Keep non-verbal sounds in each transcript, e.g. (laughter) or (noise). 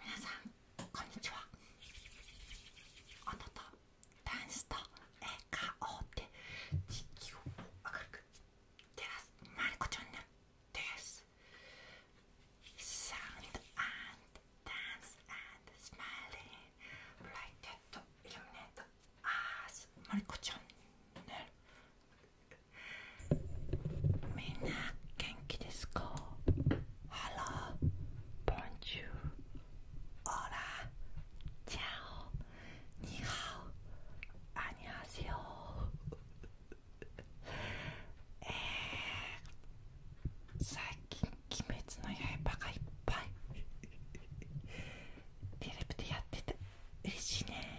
皆さんこんにちはあなたダンスと笑顔で地球を明るく照らすマリコチャンネルですサウンドダンス and smiling brighted to illuminate us マリコチャンネルみんな元気ですか ?Hello, Bonjour, Hola, Ciao, Nihao, Annyeonghaseyo えー、最近「鬼滅の刃」がいっぱいテレビでやってて嬉しいね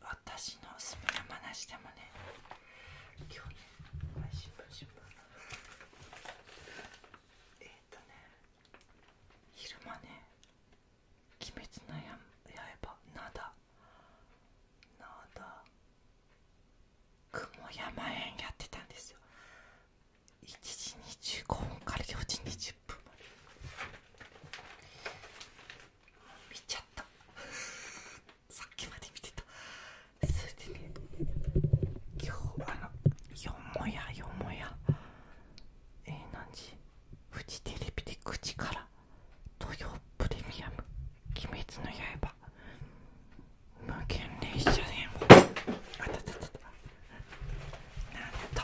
私のおすすめの話でもね今日ねえっ、とね昼間ね「鬼滅の刃」なだなだ雲山園やってたんですよ1時25分から4時20分まで見ちゃった (laughs) さっきまで見てたそれでね今日あのよもやよもやえー、何時フジテレビで口から土曜プレミアム「鬼滅の刃」無限列車編をあたたたたなんと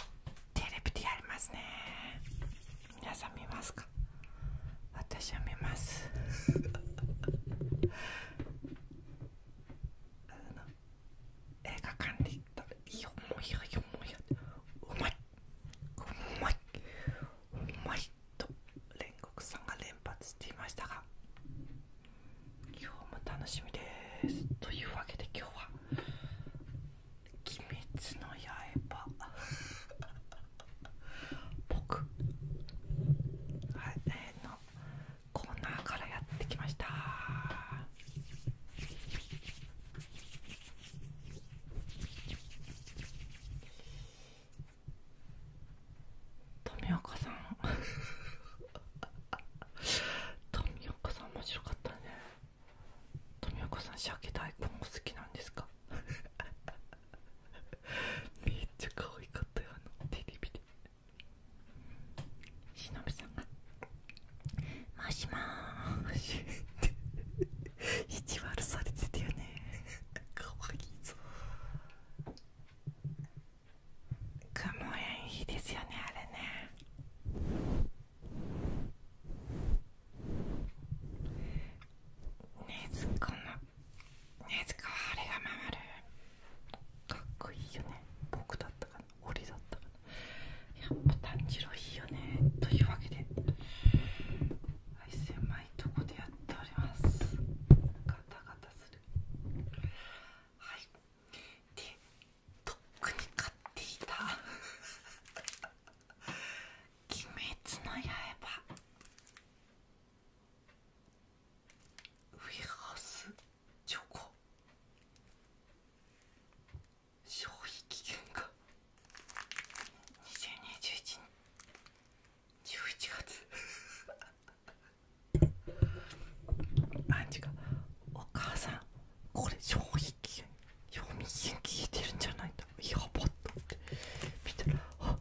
テレビでやりますね皆さん見ますか私は見ます (laughs) あの映画館で食べてよもやよもやうまいうまいうまいと煉獄さんが連発していましたが今日も楽しみですというわけで今日は「鬼滅の刃」(laughs) 僕はい、えー、のコーナーからやってきました富岡さん (laughs) 富岡さん面白かったね富岡さん鮭大根お好きなんですか (laughs) めっちゃ可愛かったよあのテレビで忍さんが「もしもーし」っ (laughs) て意地悪されてたよねかわいいぞ雲園いいですよねあれねねずこのねずこはあれが守るかっこいいよね僕だったかな俺だったかなやっぱ炭治郎いいよねというわけではい狭いとこでやっておりますガタガタするはいでとっくに買っていた「(laughs) 鬼滅の刃」ウィハウスチョコ消費期限が2021年11月 (laughs) アンジお母さんこれ超味期限賞味期限聞いてるんじゃないんだやばっ」と思って見たら「あ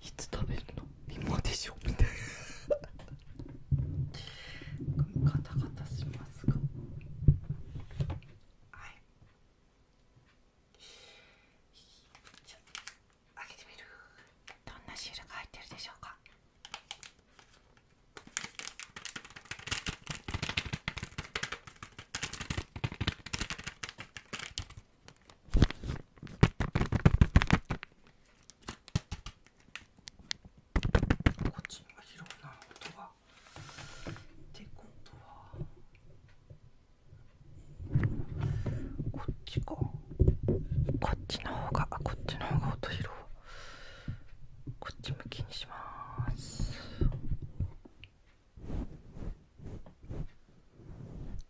いつ食べるの今でしょ」みたいなカタカタしますがはいじゃあ開けてみるどんなシールが入ってるでしょうかこっちには広いな音が。ってことはこっちかこっちの方があこっちの方が音色。うこっち向きにします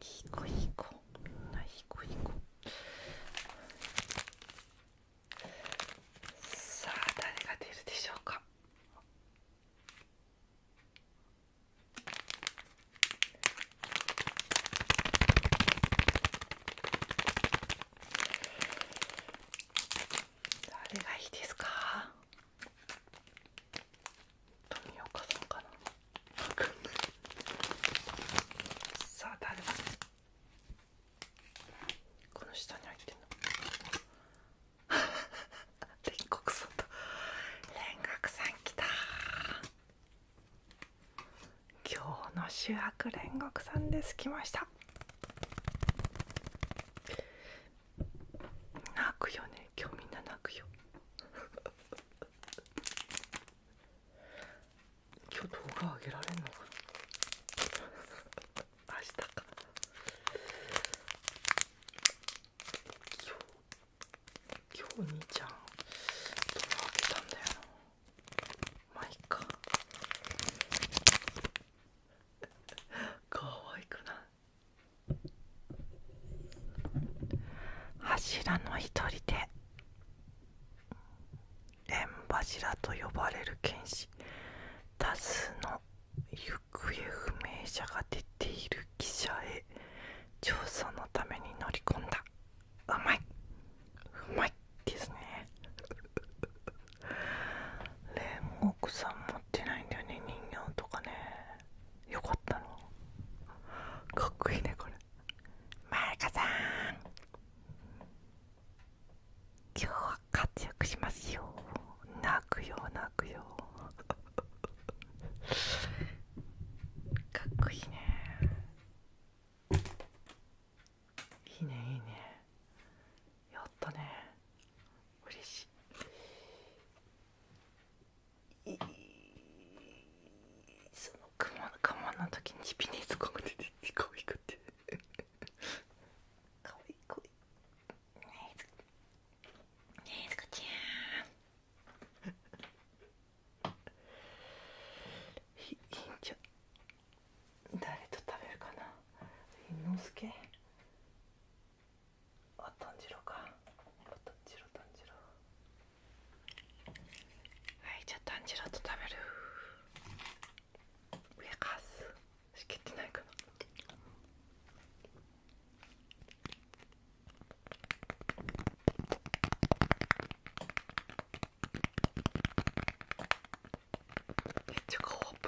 いい子いい子みんないい子いい子さあ誰が出るでしょうか誰がいいですか富岡さんかなさあ誰だこの下に入ってんの煉獄さんと煉獄さん来た今日の主役煉獄さんです来ました泣くよね今日みんな泣くよ (laughs) 今日動画あげられんのかな (laughs) 明日か今日兄ちゃんどうなったんだよマイカいっかわいくない柱の一人で縁柱と呼ばれる剣士多数の行方不明者が出ている記者へ調査のために乗り込んだうまいうまいですね (laughs) レモン奥さん持ってないんだよね人形とかねよかったのかっこいいねこれマイカさん今日は活躍しますよ泣くようなかっこいいねいいねいいねやったね嬉しいいそのクモの我慢の時にビネズコが出てきて可いくて可愛い可愛いねえねえすこちゃんいい (laughs) んじゃ誰と食べるかなのすけあ炭治郎かあ炭治郎炭はいじゃあ炭治と食べるう上かすしきってないかなめっちゃかわいい。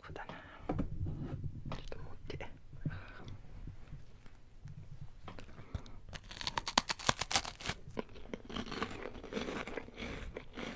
こだなちょっと持って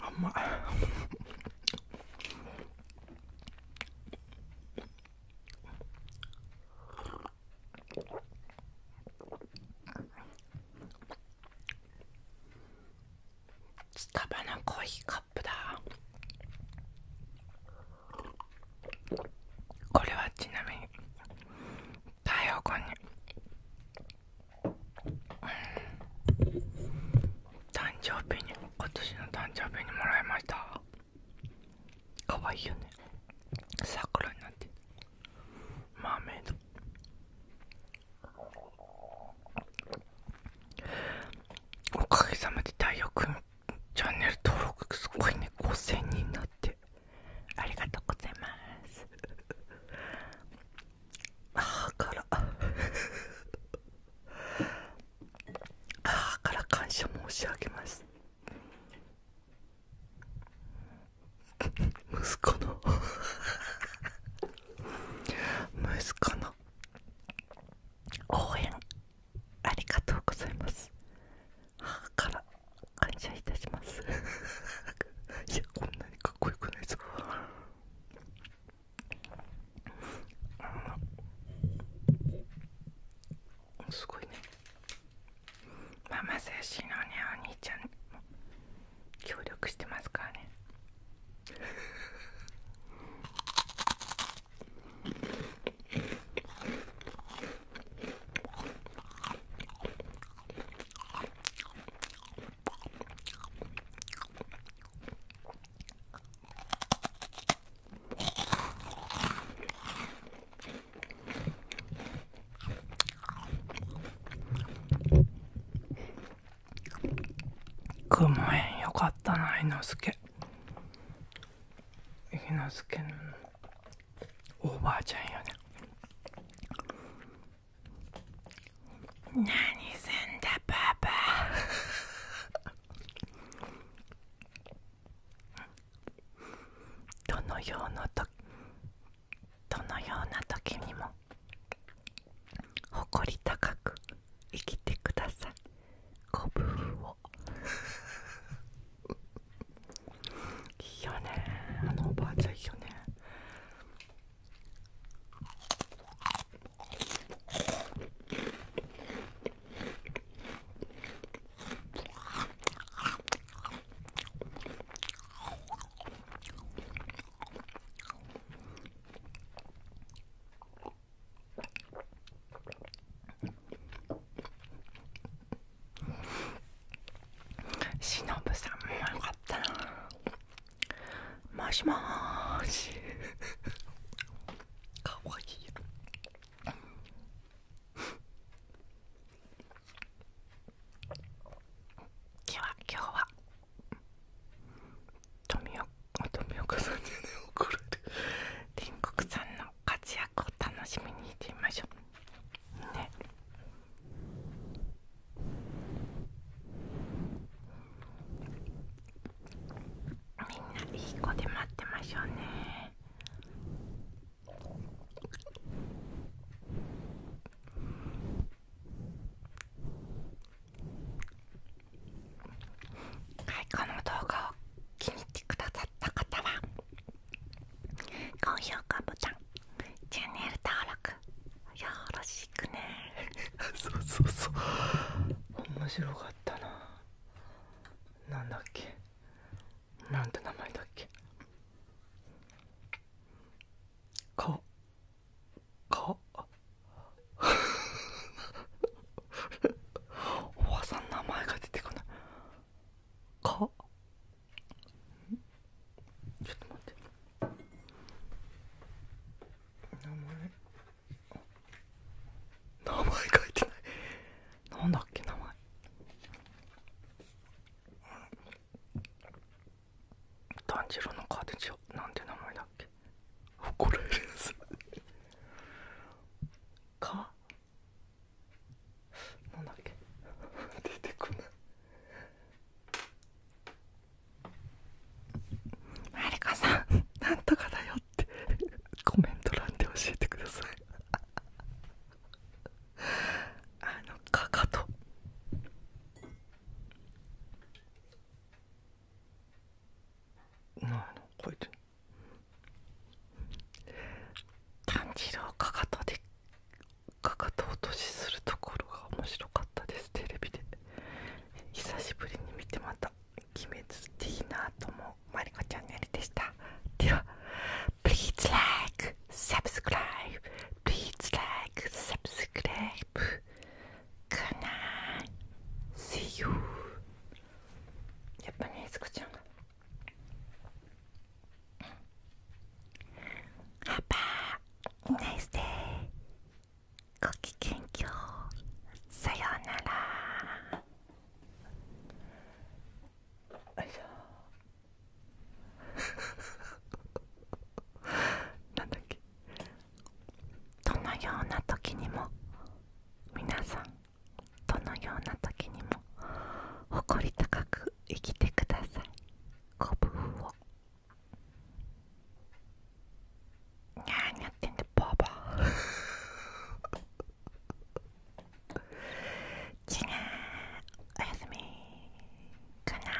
あ、まいスタバのコーヒーカップだこれはちなみに太陽君に誕生日に今年の誕生日にもらいましたかわいいよね桜になってマーおかげさまで太陽君チャンネル登録すごいね5000人になってありがとうございます母から母から感謝申し上げます息子の息子の応援ありがとうございます母から感謝いたします (laughs) いやこんなにかっこよくないですかすごいねママ精神のねお兄ちゃんも協力してますからね (laughs) くもえん、よかったな猪之助猪之助のおばあちゃんよね何すんだパパ (laughs) どのようなとどのような時にも誇り高く生きてくださいコブをいいよねあのおばあちゃんいいよねしのさんもよかったなもしもし (laughs) かわいい今日は今日は富岡富岡さんじねえれる天国さんの活役を楽しみにしてみましょうねみんないい子で待ってましょうねはい、この動画を気に入ってくださった方は高評価ボタンチャンネル登録よろしくね (laughs) そうそうそう面白かったななんだっけなんて名前だっけかか (laughs) おばさん名前が出てこないかちょっと待って名前名前書いてないなんだっけ名前炭治郎のカーなんて名前だっけ怒られるやつかなんだっけ出てこないマリカさんなんとかだよってコメント欄で教えてくださいあのかかとなのこいつ炭治郎かかとでかかと落としするところが面白かったですテレビで久しぶりに見てまた鬼滅っていいなと思うマリコちゃんのやりでしたでは Please like subscribe Please l i k g o o See you. やっぱね、すこちゃんが。パパ、ナイスデー。ごきげんきょう。さようなら。よいし (laughs) なんだっけどのような時にも皆さんどのような時にも誇り高く生きてくださいご夫婦を何やってんだば。ーボー違おやすみかな